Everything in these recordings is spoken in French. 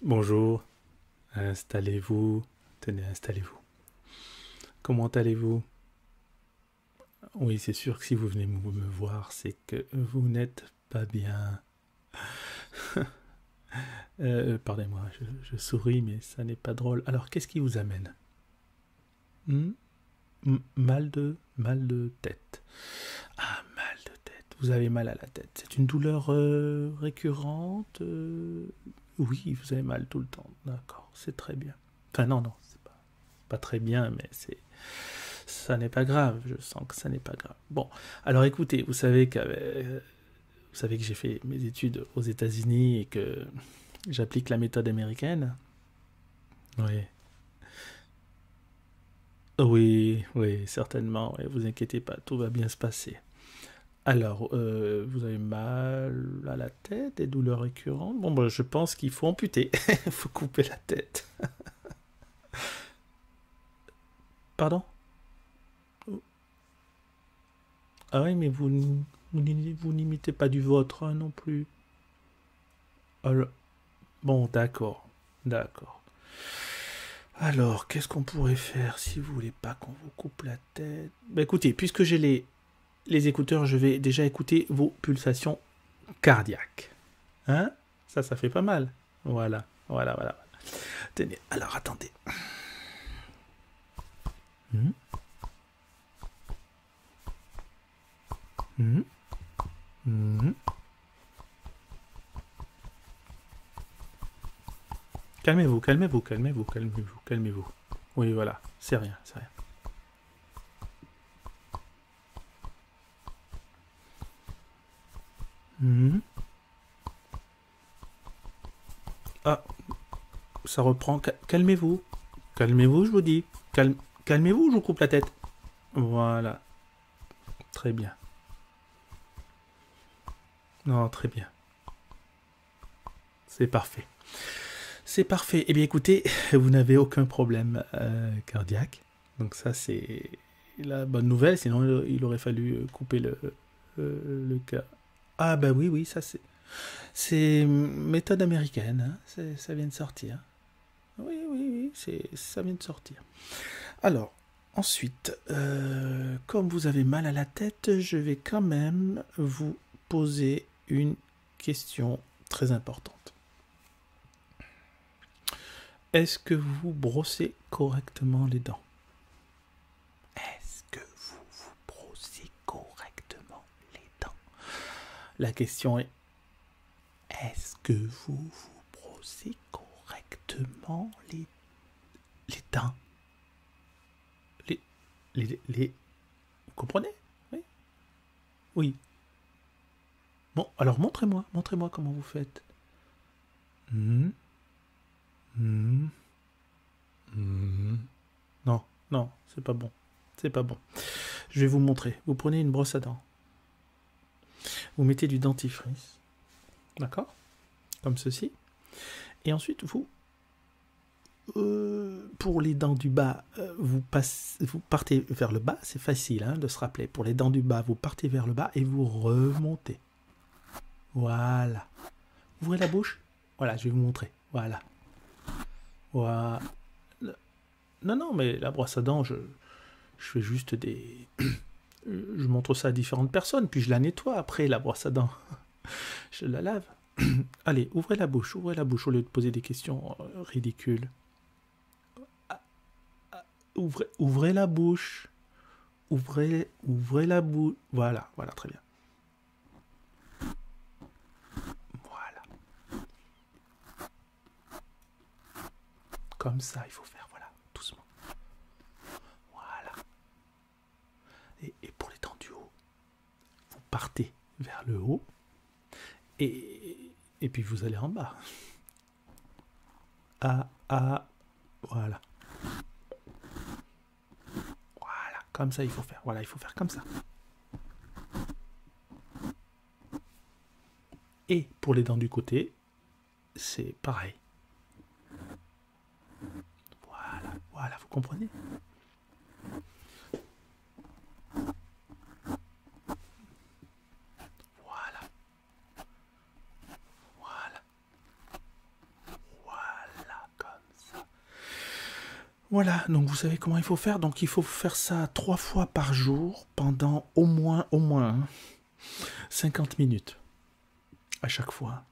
Bonjour, installez-vous, tenez, installez-vous. Comment allez-vous Oui, c'est sûr que si vous venez me voir, c'est que vous n'êtes pas bien. Euh, euh, pardonnez-moi, je souris, mais ça n'est pas drôle. Alors, qu'est-ce qui vous amène Hmm. mal de mal de tête. Ah, mal de tête. Vous avez mal à la tête. C'est une douleur euh, récurrente. Euh? Oui, vous avez mal tout le temps. D'accord, c'est très bien. Enfin non, non, c'est pas, pas très bien, mais c'est ça n'est pas grave. Je sens que ça n'est pas grave. Bon, alors écoutez, vous savez que euh, vous savez que j'ai fait mes études aux États-Unis et que J'applique la méthode américaine. Oui. Oui, oui, certainement. vous inquiétez pas, tout va bien se passer. Alors, euh, vous avez mal à la tête, des douleurs récurrentes. Bon, ben, je pense qu'il faut amputer. Il faut couper la tête. Pardon ah oui, mais vous, n'imitez pas du vôtre hein, non plus. Alors, ah, bon, d'accord, d'accord. Alors, qu'est-ce qu'on pourrait faire si vous voulez pas qu'on vous coupe la tête bah, Écoutez, puisque j'ai les, les écouteurs, je vais déjà écouter vos pulsations cardiaques. Hein Ça, ça fait pas mal. Voilà, voilà, voilà. Tenez, alors attendez. Hmm? Mm-hmm. Mm-hmm. Calmez-vous, calmez-vous, calmez-vous, calmez-vous, calmez-vous. Oui, voilà, c'est rien, c'est rien. Mm-hmm. Ah, ça reprend. Calmez-vous. Calmez-vous, je vous dis. Calmez-vous, je vous coupe la tête. Voilà. Très bien. Non, très bien. C'est parfait. C'est parfait. et eh bien, écoutez, vous n'avez aucun problème euh, cardiaque. Donc ça, c'est la bonne nouvelle. Sinon, il aurait fallu couper le, euh, le, cas. Ah ben oui, oui, ça c'est... méthode américaine, hein. ça vient de sortir. Oui, oui, oui, ça vient de sortir. Alors, ensuite, euh, comme vous avez mal à la tête, je vais quand même vous poser une question très importante. Est-ce que vous brossez correctement les dents est-ce que vous vous brossez correctement les dents La question est Est-ce que vous vous brossez correctement les, les dents les, les, les, Vous comprenez Oui Oui. Bon, alors montrez-moi, montrez-moi comment vous faites. Hum, hum. Mhm. Non, non, c'est pas bon. C'est pas bon. Je vais vous montrer. Vous prenez une brosse à dents. Vous mettez du dentifrice. D'accord Comme ceci. Et ensuite, vous euh, pour les dents du bas, euh, vous, vous, partez vers le bas, c'est facile hein, de se rappeler. Pour les dents du bas, vous partez vers le bas et vous remontez. Voilà. Ouvrez la bouche voilà, je vais vous montrer. Voilà. voilà. Non, non, mais la brosse à dents, je, fais juste des... je montre ça à différentes personnes, puis je la nettoie après, la brosse à dents. je la lave. Allez, ouvrez la bouche, ouvrez la bouche au lieu de poser des questions euh, ridicules. Ah, ah, ouvrez, la bouche. Ouvrez, ouvrez la bouche. Voilà, voilà, très bien. Voilà. Comme ça, il faut faire, voilà, doucement. Voilà. Et, pour les temps du haut, vous partez vers le haut et, et puis vous allez en bas. Ah, ah, voilà. Voilà, comme ça il faut faire. Voilà, il faut faire comme ça. Et pour les dents du côté, c'est pareil. Voilà, voilà, vous comprenez Voilà. Voilà. Voilà, comme ça. Voilà, donc vous savez comment il faut faire. Donc il faut faire ça trois fois par jour pendant au moins, au moins 50 hein, minutes à chaque fois.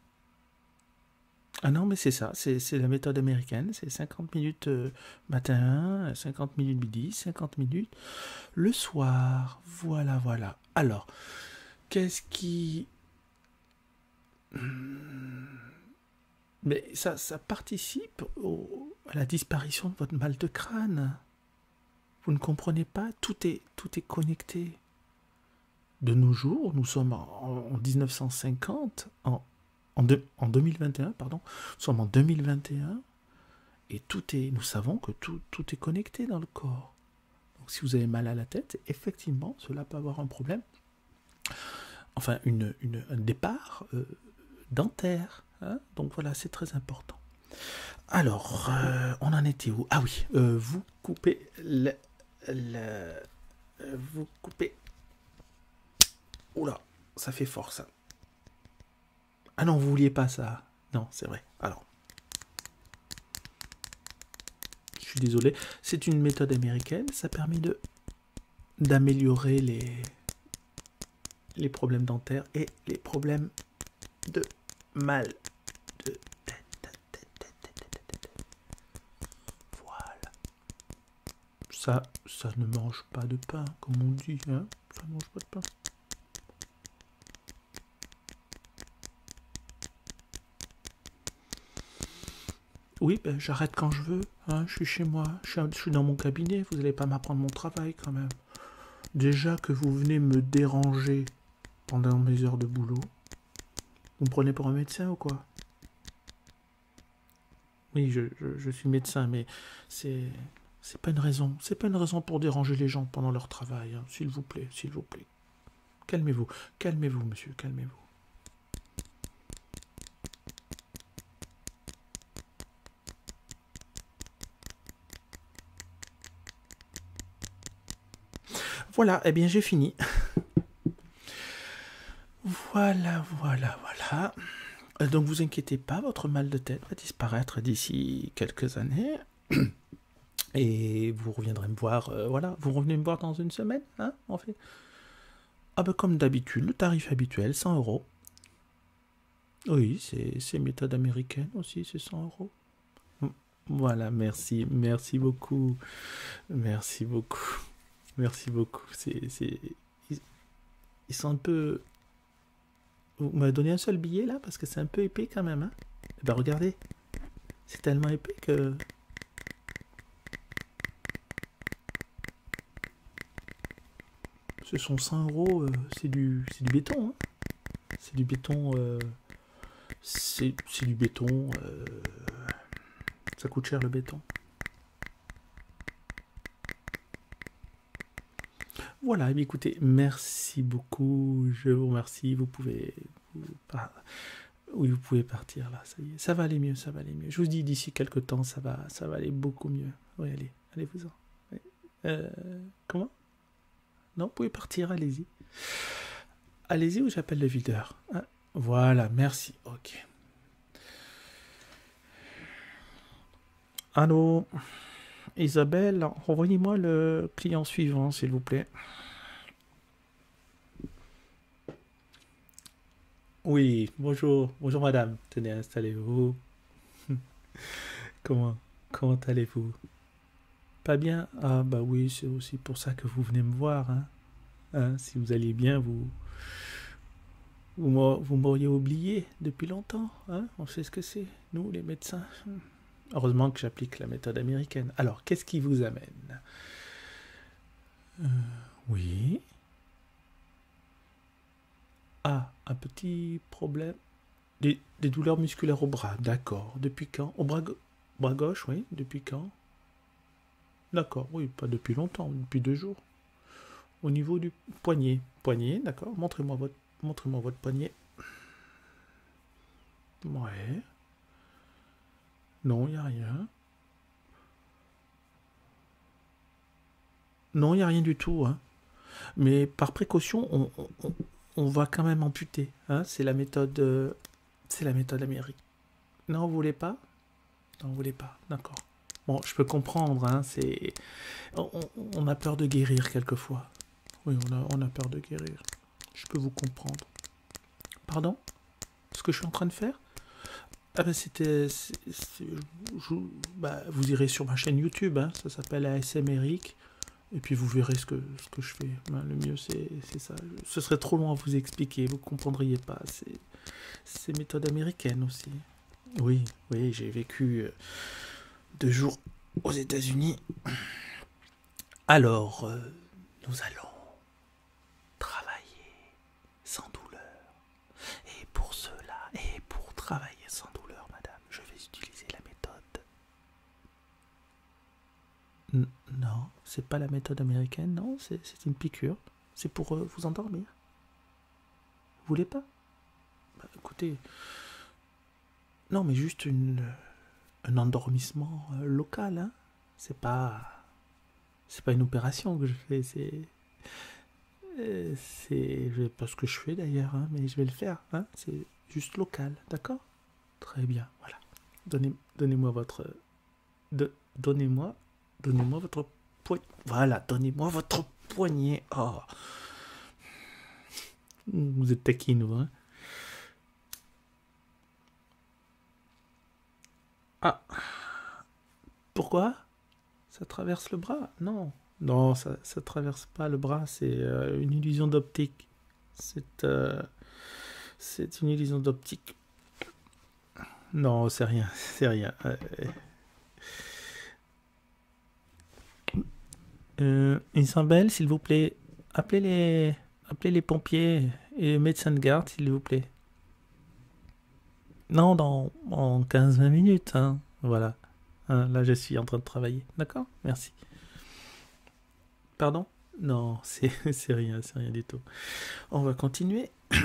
Ah non, mais c'est ça, c'est la méthode américaine, c'est 50 minutes euh, matin, 50 minutes midi, 50 minutes le soir. Voilà, voilà. Alors, qu'est-ce qui Hmm. Mais ça, ça participe à la disparition de votre mal de crâne. Vous ne comprenez pas, tout est, tout est connecté. De nos jours, nous sommes en, en 1950, en, en, 2021, pardon, sommes en 2021, et tout est, nous savons que tout, tout est connecté dans le corps. Donc si vous avez mal à la tête, effectivement, cela peut avoir un problème enfin une, un départ euh, dentaire. Hein. Donc voilà, c'est très important. Alors, euh, on en était où Ah oui, euh, vous coupez le, vous coupez. Oula, ça fait fort ça. Ah non, vous vouliez pas ça. Non, c'est vrai. Alors, je suis désolé. C'est une méthode américaine. Ça permet de d'améliorer les, les problèmes dentaires et les problèmes de mal de Voilà. Ça, ça ne mange pas de pain, comme on dit. Hein. ça ne mange pas de pain. Oui, ben, j'arrête quand je veux. Hein, je suis chez moi, je suis dans mon cabinet. Vous n'allez pas m'apprendre mon travail quand même. Déjà que vous venez me déranger pendant mes heures de boulot, vous me prenez pour un médecin ou quoi Oui, je, suis médecin, mais c'est c'est pas une raison. C'est pas une raison pour déranger les gens pendant leur travail. Hein, s'il vous plaît, s'il vous plaît calmez. vous calmez-vous, monsieur, calmez-vous. Voilà, eh bien j'ai fini. voilà, voilà, voilà. Euh, donc vous inquiétez pas, votre mal de tête va disparaître d'ici quelques années. Et vous reviendrez me voir, euh, voilà, vous revenez me voir dans une semaine, hein, en fait. Ah ben comme d'habitude, le tarif habituel, 100 euros. Oui, c'est méthode américaine aussi, c'est 100 euros. Voilà, merci, merci beaucoup, merci beaucoup, merci beaucoup. C'est, ils, ils sont un peu. Vous m'avez donné un seul billet là parce que c'est un peu épais quand même. Hein? Et eh ben regardez, c'est tellement épais que ce sont 5 euros, c'est du, béton. Hein. c'est du béton. Euh, c'est du béton. Euh, ça coûte cher le béton. Voilà, eh écoutez, merci beaucoup. Je vous remercie. Vous pouvez. Oui, vous pouvez partir là, ça y est. Ça va aller mieux, ça va aller mieux. Je vous dis d'ici quelques temps, ça va, ça va aller beaucoup mieux. Oui, allez, allez-vous-en. Euh, comment Non, vous pouvez partir, allez-y. Allez-y ou j'appelle le videur. Ah, voilà, merci. Ok. Allô Isabelle, envoyez-moi le client suivant, s'il vous plaît. Oui, bonjour, bonjour madame. Tenez, installez-vous. comment comment allez-vous Pas bien Ah bah oui, c'est aussi pour ça que vous venez me voir. Hein. Hein, si vous alliez bien, vous vous m'auriez oublié depuis longtemps. Hein? On sait ce que c'est, nous les médecins. Hum. Heureusement que j'applique la méthode américaine. Alors, qu'est-ce qui vous amène euh, Oui. Ah, un petit problème. Des, douleurs musculaires au bras, d'accord. Depuis quand Au bras, gauche, oui. Depuis quand D'accord, oui, pas depuis longtemps, depuis deux jours. Au niveau du poignet. Poignet, d'accord. Montrez-moi votre, votre poignet. Ouais. Non, il n'y a rien. Non, il n'y a rien du tout. Hein. Mais par précaution, on, va quand même amputer. Hein. C'est la méthode. Euh, c'est la méthode américaine. Non, vous voulez pas Non, vous voulez pas. D'accord. Bon, je peux comprendre. Hein, c'est... On, a peur de guérir quelquefois. Oui, on a peur de guérir. Je peux vous comprendre. Pardon Ce que je suis en train de faire ah ben c'était. Bah, vous irez sur ma chaîne YouTube, hein. ça s'appelle ASMRIC. Et puis vous verrez ce que, ce que je fais. Ben, le mieux, c'est ça. Ce serait trop long à vous expliquer, vous ne comprendriez pas. C'est méthode américaine aussi. Oui, oui, j'ai vécu euh, deux jours aux États-Unis. Alors, euh, nous allons travailler sans douleur. Et pour cela, et pour travailler sans douleur, madame, je vais utiliser la méthode. non, c'est pas la méthode américaine, non, c'est une piqûre. C'est pour euh, vous endormir. Vous voulez pas bah, Écoutez, non, mais juste euh, un endormissement local, hein c'est pas c'est pas une opération que je fais c'est euh, c'est je sais pas ce que je fais d'ailleurs hein, mais je vais le faire hein. c'est juste local d'accord très bien voilà donnez moi votre de, donnez-moi donnez-moi votre poignet voilà donnez-moi votre poignet oh. vous êtes taquine hein ah. Pourquoi Ça traverse le bras Non. Non, ça traverse pas le bras, c'est euh, une illusion d'optique. Euh, c'est une illusion d'optique. Non, c'est rien, c'est rien. Isabelle, euh, s'il vous plaît, appelez les Appelez les pompiers et le médecin de garde, s'il vous plaît. Non, dans, 15-20 minutes. Hein. Voilà. Hein, là, je suis en train de travailler. D'accord Merci. Pardon Non, c'est rien, c'est rien du tout. On va continuer.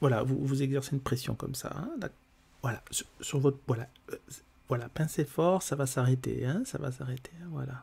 voilà, vous, exercez une pression comme ça. Hein, voilà, sur, votre... Voilà, euh, voilà, pincez fort, ça va s'arrêter. hein, ça va s'arrêter. Hein, voilà.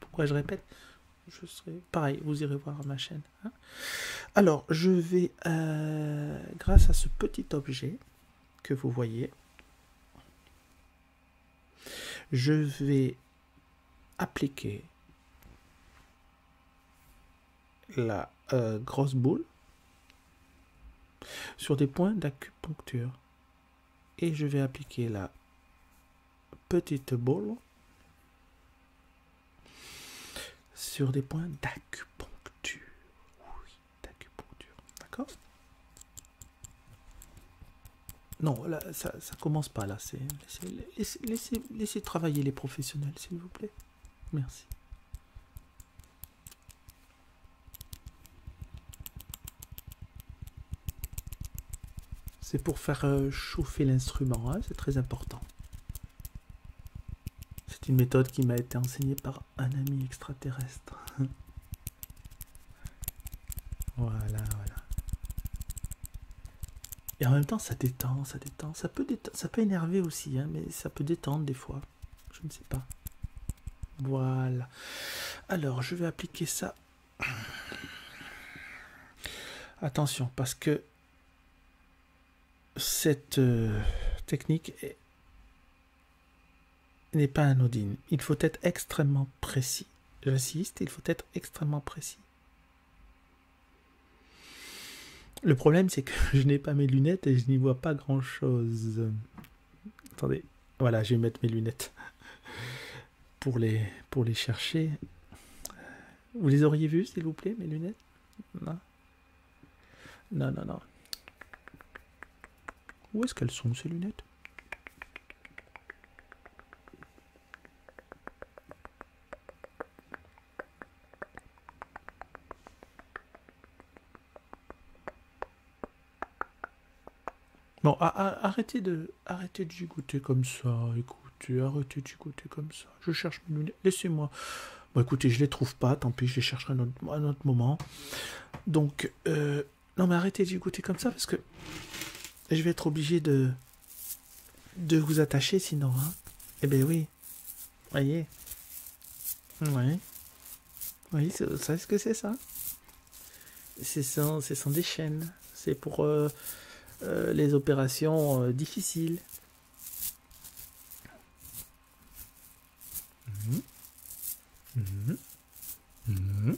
pourquoi je répète je serai pareil, vous irez voir ma chaîne. Hein. Alors, je vais, euh, grâce à ce petit objet que vous voyez, je vais appliquer la euh, grosse boule sur des points d'acupuncture et je vais appliquer la petite boule sur des points d'acupuncture. Oui, d'acupuncture. D'accord Non, ça, commence pas là. laissez travailler les professionnels, s'il vous plaît. Merci. C'est pour faire euh, chauffer l'instrument, hein, c'est très important. C'est une méthode qui m'a été enseignée par un ami extraterrestre. voilà, voilà. Et en même temps, ça détend, ça détend. Ça peut, ça peut énerver aussi, hein, mais ça peut détendre des fois. Je ne sais pas. Voilà. Alors, je vais appliquer ça Attention, parce que cette euh, technique n'est pas anodine. Il faut être extrêmement précis. J'insiste, il faut être extrêmement précis. Le problème, c'est que je n'ai pas mes lunettes et je n'y vois pas grand-chose. Attendez, voilà, je vais mettre mes lunettes pour les, chercher. Vous les auriez vues, s'il vous plaît, mes lunettes Non, non, non. non. Où est-ce qu'elles sont, ces lunettes Bon, arrêtez de, arrêtez de gigoter comme ça. Écoutez, arrêtez de goûter comme ça. Je cherche mes lunettes. Laissez-moi. Bon, écoutez, je les trouve pas. Tant pis, je les chercherai à un, autre, moment. Donc, euh, non, mais arrêtez de goûter comme ça parce que je vais être obligé de, de vous attacher sinon. Hein. Eh ben oui. Voyez. voyez. Oui, vous savez ce que c'est ça C'est sans, des chaînes. C'est pour euh, euh, les opérations euh, difficiles. Mmh. Mmh. Mmh.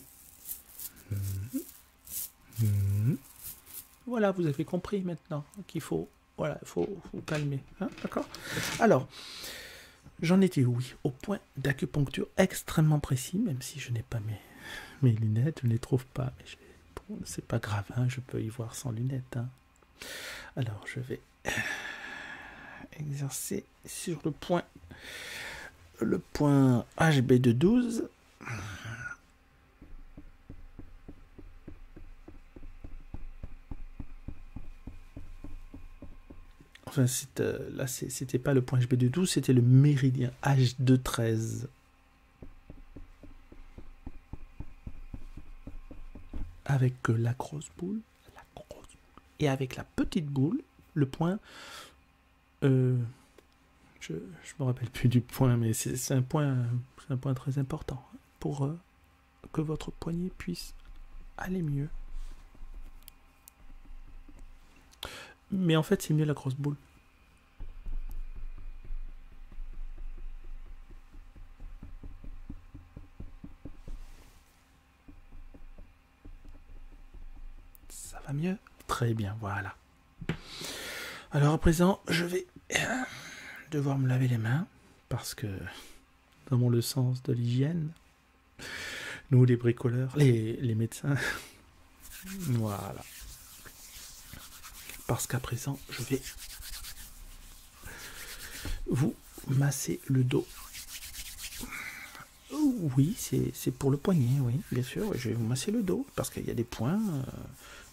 Voilà, vous avez compris maintenant qu'il faut, voilà, calmer, hein, d'accord Alors, j'en étais oui, au point d'acupuncture extrêmement précis, même si je n'ai pas mes, lunettes, je ne les trouve pas. c'est pas grave, hein, je peux y voir sans lunettes. Hein. Alors je vais exercer sur le point, le point HB de 12. Enfin, euh, là, c'était pas le point HB de 12, c'était le méridien H213. de Avec euh, la grosse boule, et avec la petite boule, le point. Euh, je me rappelle plus du point, mais c'est un point, un point très important pour que votre poignet puisse aller mieux. Mais en fait, c'est mieux la grosse boule. Ça va mieux Très bien, voilà. Alors à présent, je vais euh, devoir me laver les mains parce que, dans le sens de l'hygiène, nous, les bricoleurs, les, médecins. voilà. Parce qu'à présent, je vais vous masser le dos. Oui, c'est pour le poignet, oui, bien sûr. Je vais vous masser le dos parce qu'il y a des points euh,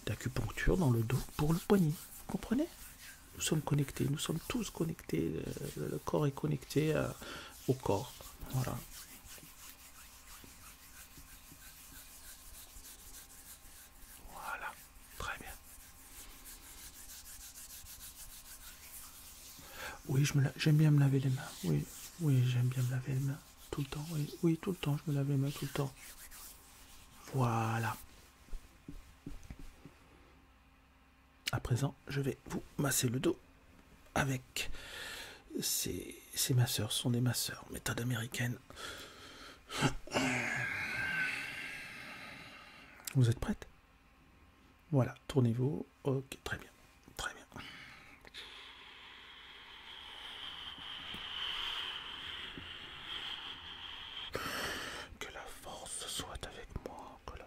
d'acupuncture dans le dos pour le poignet. Vous comprenez Nous sommes connectés, nous sommes tous connectés. Euh, le corps est connecté à au corps. Voilà. Voilà, très bien. Oui, j'aime bien me laver les mains. Oui, oui, j'aime bien me laver les mains. Tout le temps, oui, oui, tout le temps, je me lave les mains tout le temps. Voilà. À présent, je vais vous masser le dos avec ces, masseurs. Ce sont des masseurs, méthode américaine. Vous êtes prête Voilà, tournez-vous. Ok, très bien. Très bien. Que la force soit avec moi. Que la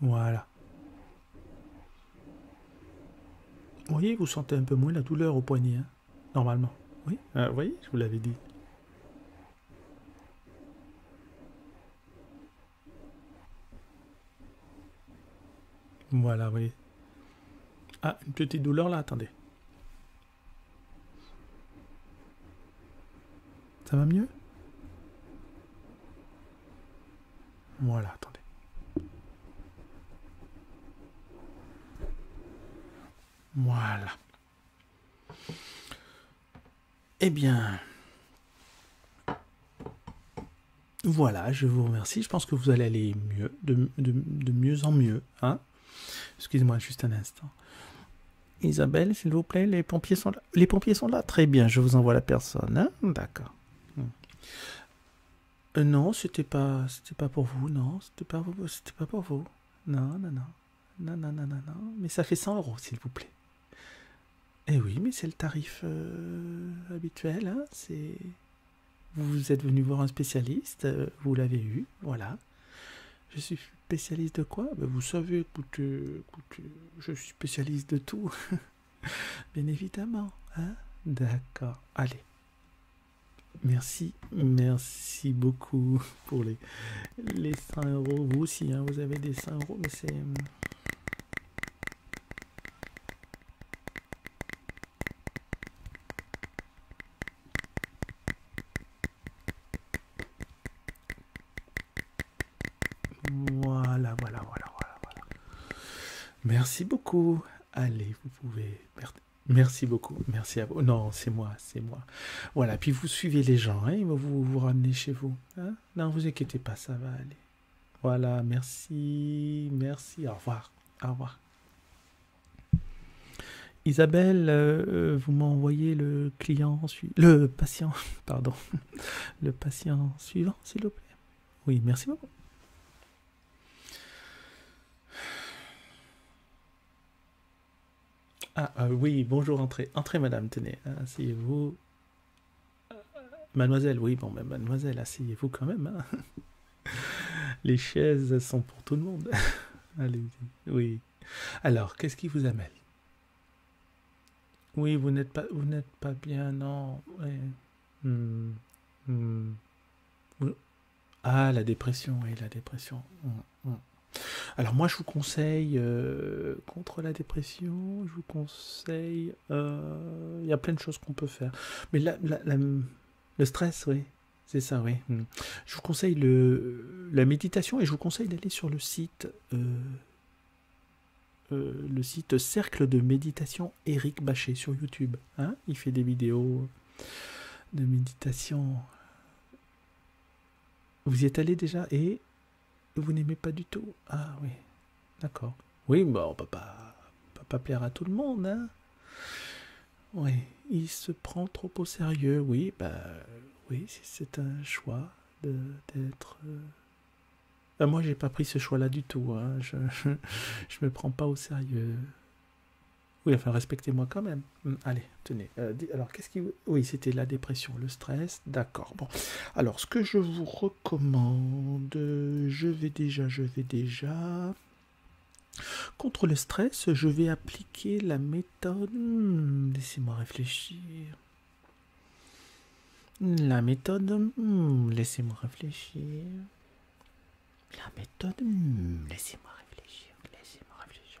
Voilà. Vous voyez, vous sentez un peu moins la douleur au poignet, hein, normalement. Oui, euh, voyez, je vous l'avais dit. Voilà, oui. voyez. Ah, une petite douleur là, attendez. Ça va mieux Voilà, attendez. Voilà. Eh bien, voilà, je vous remercie. Je pense que vous allez aller mieux, de, mieux en mieux. Hein. Excusez-moi juste un instant. Isabelle, s'il vous plaît, les pompiers sont là. Les pompiers sont là. Très bien, je vous envoie la personne. Hein. D'accord. Euh, non, c'était pas, pas pour vous. Non, c'était pas, c'était pas pour vous. Non, non, non non, non, non, non, non, mais ça fait 100 euros, s'il vous plaît. Eh oui, mais c'est le tarif euh, habituel, hein. c'est... Vous êtes venu voir un spécialiste, euh, vous l'avez eu, voilà. Je suis spécialiste de quoi ben, Vous savez, écoutez, je suis spécialiste de tout. Bien évidemment, hein D'accord, allez. Merci, merci beaucoup pour les, les 100 euros. Vous aussi, vous avez des 100 euros, mais c'est. Voilà, voilà, voilà, voilà, voilà. Merci beaucoup. Allez, vous pouvez. Merci beaucoup. Merci à vous. Non, c'est moi c'est moi. Voilà, puis vous suivez les gens, hein, ils vont vous, vous ramener chez vous. Hein. Non, vous inquiétez pas, ça va aller. Voilà, merci, merci, au revoir, au revoir. Isabelle, euh, euh, vous m'envoyez le client, le patient, pardon, le patient suivant, s'il vous plaît. Oui, merci beaucoup. Ah, ah, oui, bonjour, entrez. Entrez, madame, tenez, asseyez-vous. Mademoiselle, oui, bon, ben, mademoiselle, asseyez-vous quand même. Hein. Les chaises sont pour tout le monde. allez oui. Alors, qu'est-ce qui vous amène Oui, vous n'êtes pas, vous n'êtes pas bien, non. Hmm, hmm. Ah, la dépression, oui, la dépression. Hmm. Alors moi je vous conseille euh, contre la dépression, je vous conseille, euh, il y a plein de choses qu'on peut faire. Mais la, le stress, oui, c'est ça, oui. Hmm. Je vous conseille la méditation et je vous conseille d'aller sur le site, euh, le site Cercle de méditation Eric Bachet sur YouTube. Hein il fait des vidéos de méditation vous y êtes allé déjà et vous n'aimez pas du tout Ah oui, d'accord. Oui, bon, papa. Papa plaire à tout le monde. Hein oui, il se prend trop au sérieux. Oui, bah oui, c'est un choix d'être. Euh, bah, moi, j'ai pas pris ce choix-là du tout. Hein. je, je me prends pas au sérieux. Oui, enfin, respectez-moi quand même. Hum, allez, tenez. Euh, alors, qu'est-ce qui... Oui, c'était la dépression, le stress. D'accord. Bon. Alors, ce que je vous recommande, je vais déjà, je vais déjà... Contre le stress, je vais appliquer la méthode... Hum, laissez-moi réfléchir. La méthode... Hum, laissez-moi réfléchir. La méthode... Laissez-moi réfléchir. Laissez-moi réfléchir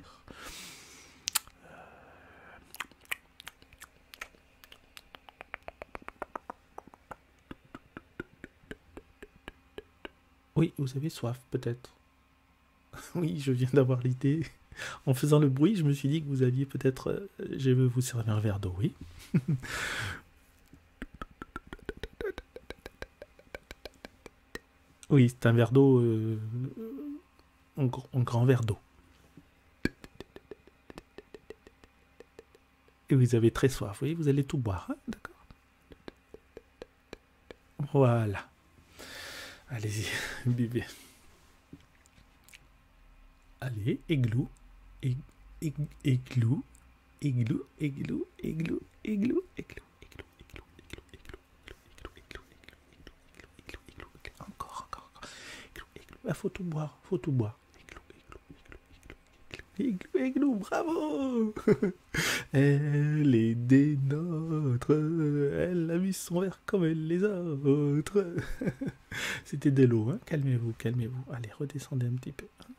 Euh. Oui, vous avez soif, peut-être. oui, je viens d'avoir l'idée. En faisant le bruit, je me suis dit que vous aviez peut-être. Euh, je veux vous servir un verre d'eau, oui. Oui, c'est un verre d'eau, euh, un, grand verre d'eau. Et vous avez très soif, vous vous allez tout boire, hein, d'accord Voilà. Allez-y, bébé. Allez, églou, églou, églou, églou, églou, églou, églou, églou encore, encore, encore, il faut tout boire, faut tout boire, éclou, éclou, éclou, éclou, éclou, bravo Elle est des nôtres, elle a mis son verre comme elle les autres C'était de l'eau, hein calmez-vous, calmez-vous, allez, redescendez un petit peu. Hein.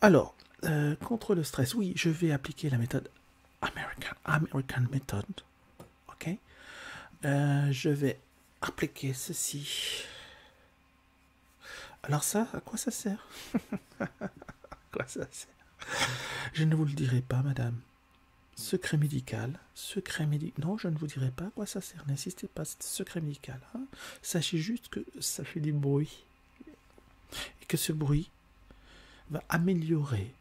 Alors, euh, contre le stress, oui, je vais appliquer la méthode American, Method. Ok euh, Je vais appliquer ceci. Alors ça, à quoi ça sert À quoi ça sert Je ne vous le dirai pas, madame. Secret médical, secret médical. Non, je ne vous dirai pas à quoi ça sert. N'insistez pas, secret médical. Hein. Sachez juste que ça fait des bruits Et que ce bruit va améliorer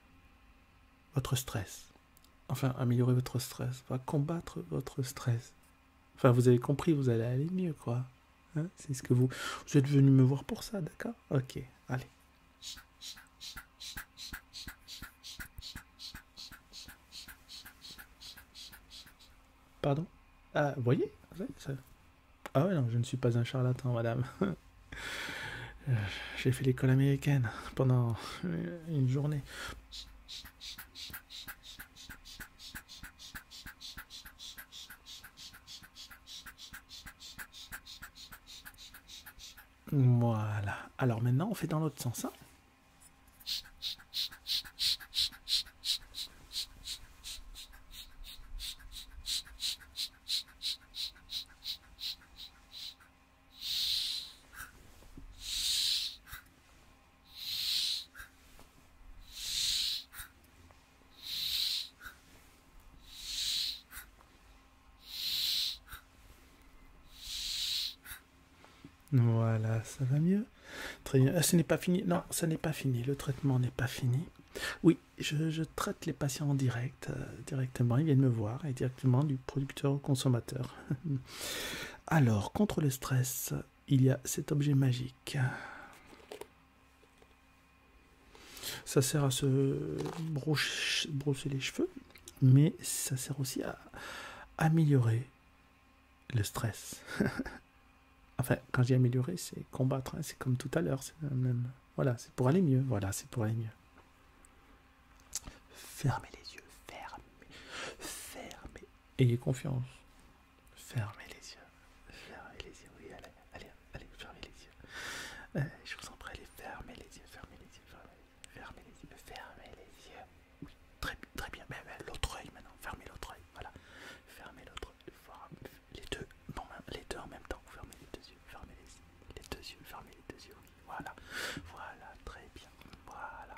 votre stress. Enfin, améliorer votre stress, va combattre votre stress. Enfin, vous avez compris, vous allez aller mieux, quoi. Hein, c'est ce que vous... Vous êtes venu me voir pour ça, d'accord Ok, allez. Pardon Ah, voyez ah non, je ne suis pas un charlatan, madame. J'ai fait l'école américaine pendant une journée. Voilà. Alors maintenant, on fait dans l'autre sens. Hein voilà, ça va mieux. Très bien. Ah, ce n'est pas fini. Non, ça n'est pas fini. Le traitement n'est pas fini. Oui, je, traite les patients en direct, euh, directement. Ils viennent me voir et directement du producteur au consommateur. Alors, contre le stress, il y a cet objet magique. Ça sert à se brosser les cheveux, mais ça sert aussi à améliorer le stress. Enfin, quand j'ai amélioré, c'est combattre. Hein, c'est comme tout à l'heure. C'est Voilà, c'est pour aller mieux. Voilà, c'est pour aller mieux. Fermez les yeux. Fermez. Fermez. Ayez confiance. Fermez les yeux. Fermez les yeux. Oui, allez, allez, fermez les yeux. Euh, je vous en prie, fermez les yeux. Fermez les yeux. Fermez les yeux. Fermez les yeux. Oui, très, bien. Mais, l'autre œil maintenant. Fermez l'autre œil. Voilà. Fermez l'autre œil les deux, les deux en même temps, Vous fermez les deux yeux, fermez les, deux yeux, fermez les deux yeux, voilà, voilà, très bien, voilà.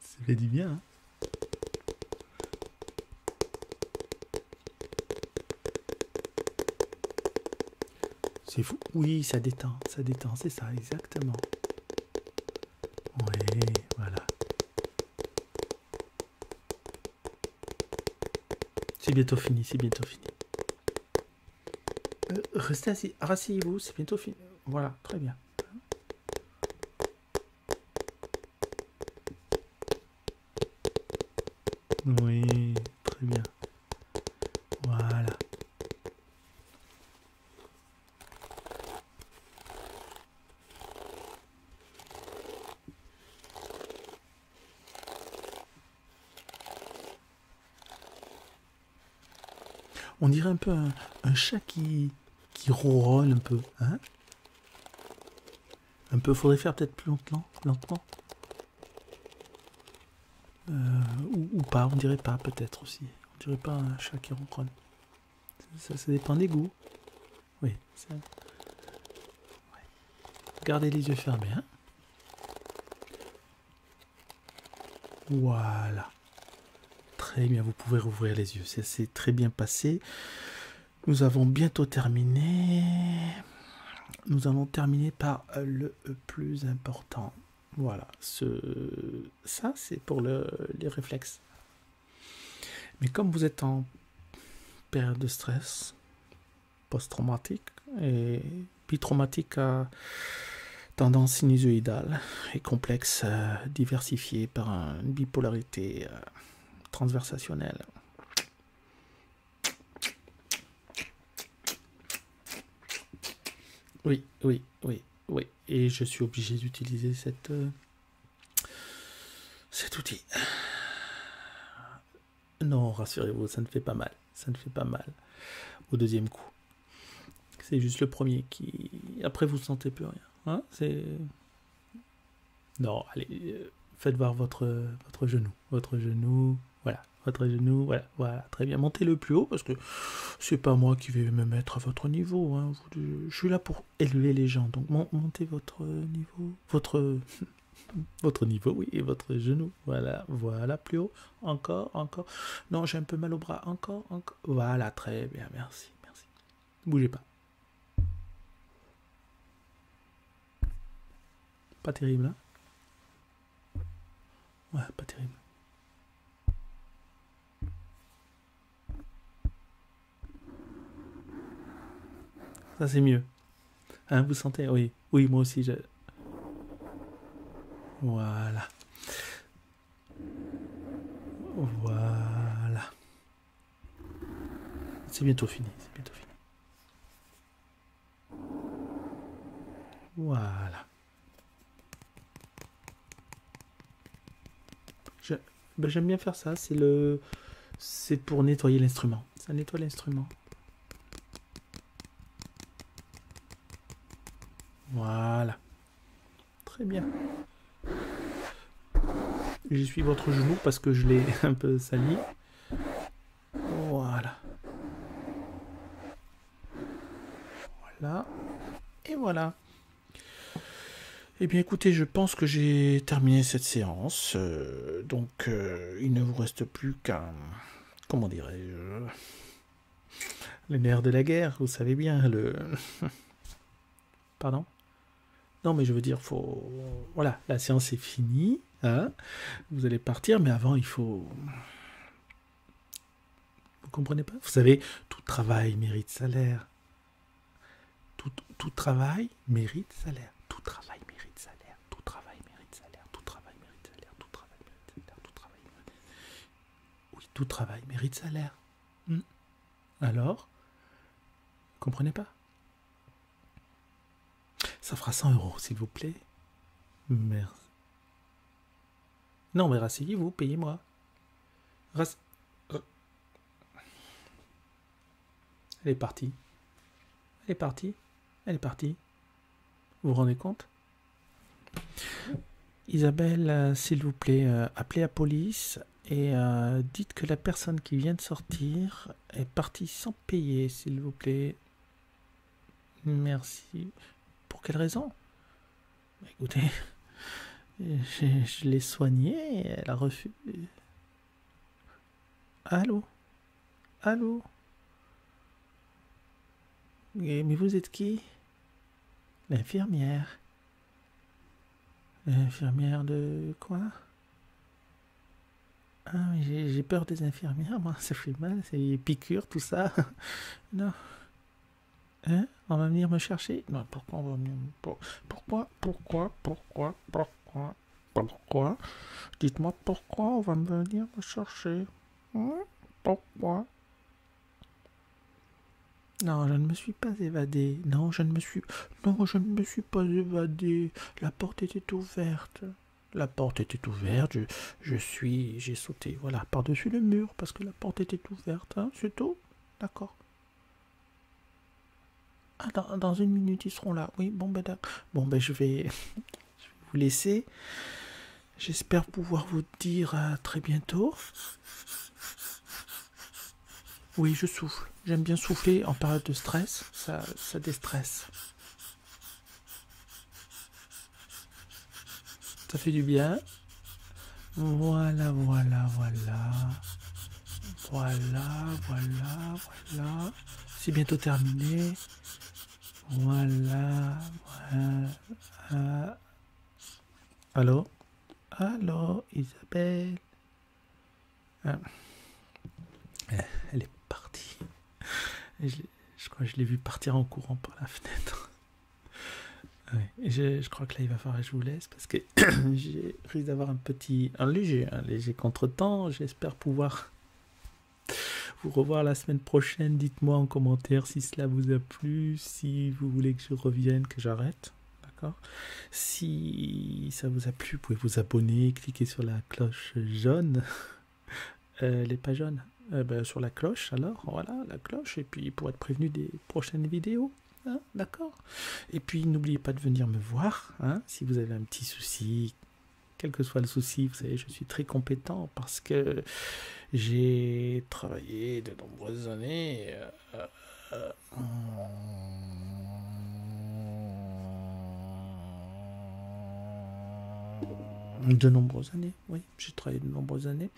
C'est du bien. Hein. C'est fou. Oui, ça détend, ça détend, c'est ça, exactement. Oui, voilà. C'est bientôt fini, c'est bientôt fini. Euh, restez assis, rasseyez-vous, c'est bientôt fini. Voilà, très bien. Oui, très bien. Voilà. On dirait un peu un, chat qui, qui ronronne un peu. Hein un peu, faudrait faire peut-être plus lentement. lentement. Euh, ou, pas, on dirait pas peut-être aussi. On dirait pas un chat qui ronronne. Ça, dépend des goûts. Oui, ça... Gardez les yeux fermés. Hein. voilà. Très bien, vous pouvez rouvrir les yeux. Ça s'est très bien passé. Nous avons bientôt terminé. Nous allons terminer par le plus important. Voilà, ce... ça c'est pour les réflexes. Mais comme vous êtes en période de stress, post-traumatique et bi-traumatique à tendance sinusoïdale et complexe euh, diversifiée par une bipolarité euh, transversationnelle. Oui, oui, oui, oui. Et je suis obligé d'utiliser cette, euh, cet outil. Non, rassurez-vous, ça ne fait pas mal. Ça ne fait pas mal au deuxième coup. C'est juste le premier qui. Après, vous ne sentez plus rien. Hein, c'est. Non, allez, euh, faites voir votre, votre genou. Votre genou, voilà. Votre genou, voilà, voilà, très bien. Montez le plus haut parce que c'est pas moi qui vais me mettre à votre niveau. Hein, je suis là pour élever les gens. Donc montez votre niveau, votre votre niveau, oui, et votre genou. Voilà, voilà, plus haut. Encore, encore. Non, j'ai un peu mal au bras. Encore, encore. Voilà, très bien, merci, merci. Ne bougez pas. Pas terrible, hein Ouais, pas terrible. Ça, c'est mieux. Hein, vous sentez Oui, oui, moi aussi. Je... Voilà. Voilà. C'est bientôt fini. C'est bientôt fini. Voilà. Ben, j'aime bien faire ça. C'est c'est pour nettoyer l'instrument. Ça nettoie l'instrument. Voilà. Très bien. J'y suis votre genou parce que je l'ai un peu sali. Voilà. Voilà. Et voilà. Et eh bien écoutez, je pense que j'ai terminé cette séance. Euh, donc donc, euh, il ne vous reste plus qu'un. Comment dirais-je Les de la guerre, vous savez bien, le. Pardon Non, mais je veux dire, faut. Voilà, la séance est finie. Hein. vous allez partir, mais avant, il faut. Vous comprenez pas Vous savez, tout travail mérite salaire. tout travail mérite salaire. Tout travail mérite salaire. Tout travail mérite salaire. Tout travail mérite salaire. Tout travail mérite salaire. Tout travail mérite salaire. Oui, tout travail mérite salaire. Hmm. Alors, comprenez pas Ça fera 100 euros, s'il vous plaît. Merci. Non, mais rasseyez-vous, payez-moi. Elle est partie. Elle est partie. Elle est partie. Vous vous rendez compte Isabelle, euh, s'il vous plaît, euh, appelez la police et euh, dites que la personne qui vient de sortir est partie sans payer, s'il vous plaît. Merci. Pour quelle raison Écoutez, je l'ai soignée, elle a refusé. Allô Allô Mais vous êtes qui L'infirmière. L'infirmière de quoi ah, j'ai peur des infirmières, moi, ça fait mal, c'est piqûres, tout ça. non. Hein On va venir me chercher Non, pourquoi on va venir Pourquoi Pourquoi Pourquoi Pourquoi pourquoi Dites-moi pourquoi on va venir me chercher. Hein? pourquoi non, je ne me suis pas évadé. Non, je ne me suis. Non, je ne me suis pas évadé. La porte était ouverte. La porte était ouverte. Je, suis. J'ai sauté. Voilà, par-dessus le mur parce que la porte était ouverte. Hein. C'est tout D'accord. Ah, dans, une minute, ils seront là. Oui, bon, ben, bon, ben je, vais, vous laisser. J'espère pouvoir vous dire à très bientôt. Oui, je souffle. J'aime bien souffler en période de stress. Ça, ça déstresse. Ça fait du bien. Voilà, voilà, voilà. Voilà, voilà, voilà. C'est bientôt terminé. Voilà, voilà. Allô Allô, Isabelle ah. Elle est partie. Je, crois que je l'ai vue partir en courant par la fenêtre. je, crois que là, il va falloir que je vous laisse parce que j'ai... J'ai risque d'avoir un petit, un léger, un léger contretemps. J'espère pouvoir vous revoir la semaine prochaine. Dites-moi en commentaire si cela vous a plu, si vous voulez que je revienne, que j'arrête. D'accord Si ça vous a plu, vous pouvez vous abonner, cliquer sur la cloche jaune. Euh, elle n'est pas jaune. Euh, ben, sur la cloche, alors, voilà, la cloche, et puis pour être prévenu des prochaines vidéos. Hein, d'accord et puis n'oubliez pas de venir me voir hein, si vous avez un petit souci. Quel que soit le souci, vous savez, je suis très compétent parce que j'ai travaillé de nombreuses années euh, de nombreuses années, oui, j'ai travaillé de nombreuses années.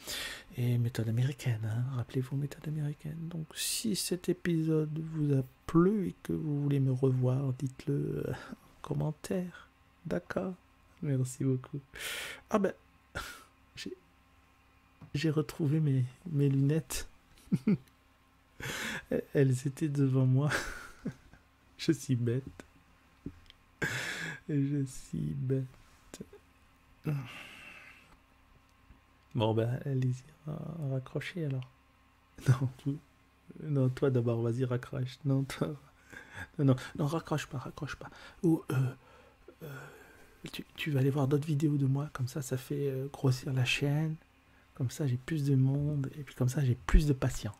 Et méthode américaine, hein, rappelez-vous, méthode américaine. Donc si cet épisode vous a plus et que vous voulez me revoir, dites-le euh, en commentaire. D'accord Merci beaucoup. Ah ben, j'ai retrouvé mes, lunettes. Elles étaient devant moi. Je suis bête. Je suis bête. Bon ben, allez-y, raccrocher alors. Non, non toi d'abord, vas-y, raccroche. Non, toi... non, non, raccroche pas, raccroche pas. Ou euh, euh, tu, vas aller voir d'autres vidéos de moi, comme ça, ça fait euh, grossir la chaîne. Comme ça, j'ai plus de monde, et puis comme ça, j'ai plus de patients.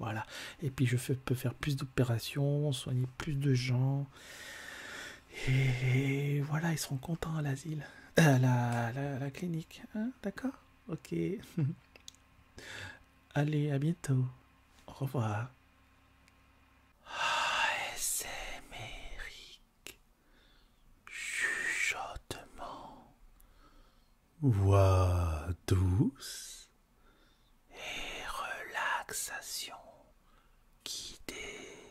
Voilà. Et puis, je peux faire plus d'opérations, soigner plus de gens. et voilà, ils seront contents à l'asile. Euh, la, la, la clinique. Hein, d'accord Ok. Allez, à bientôt. Au revoir. mérique Chuchotement. Voix douce. Et relaxation guidée.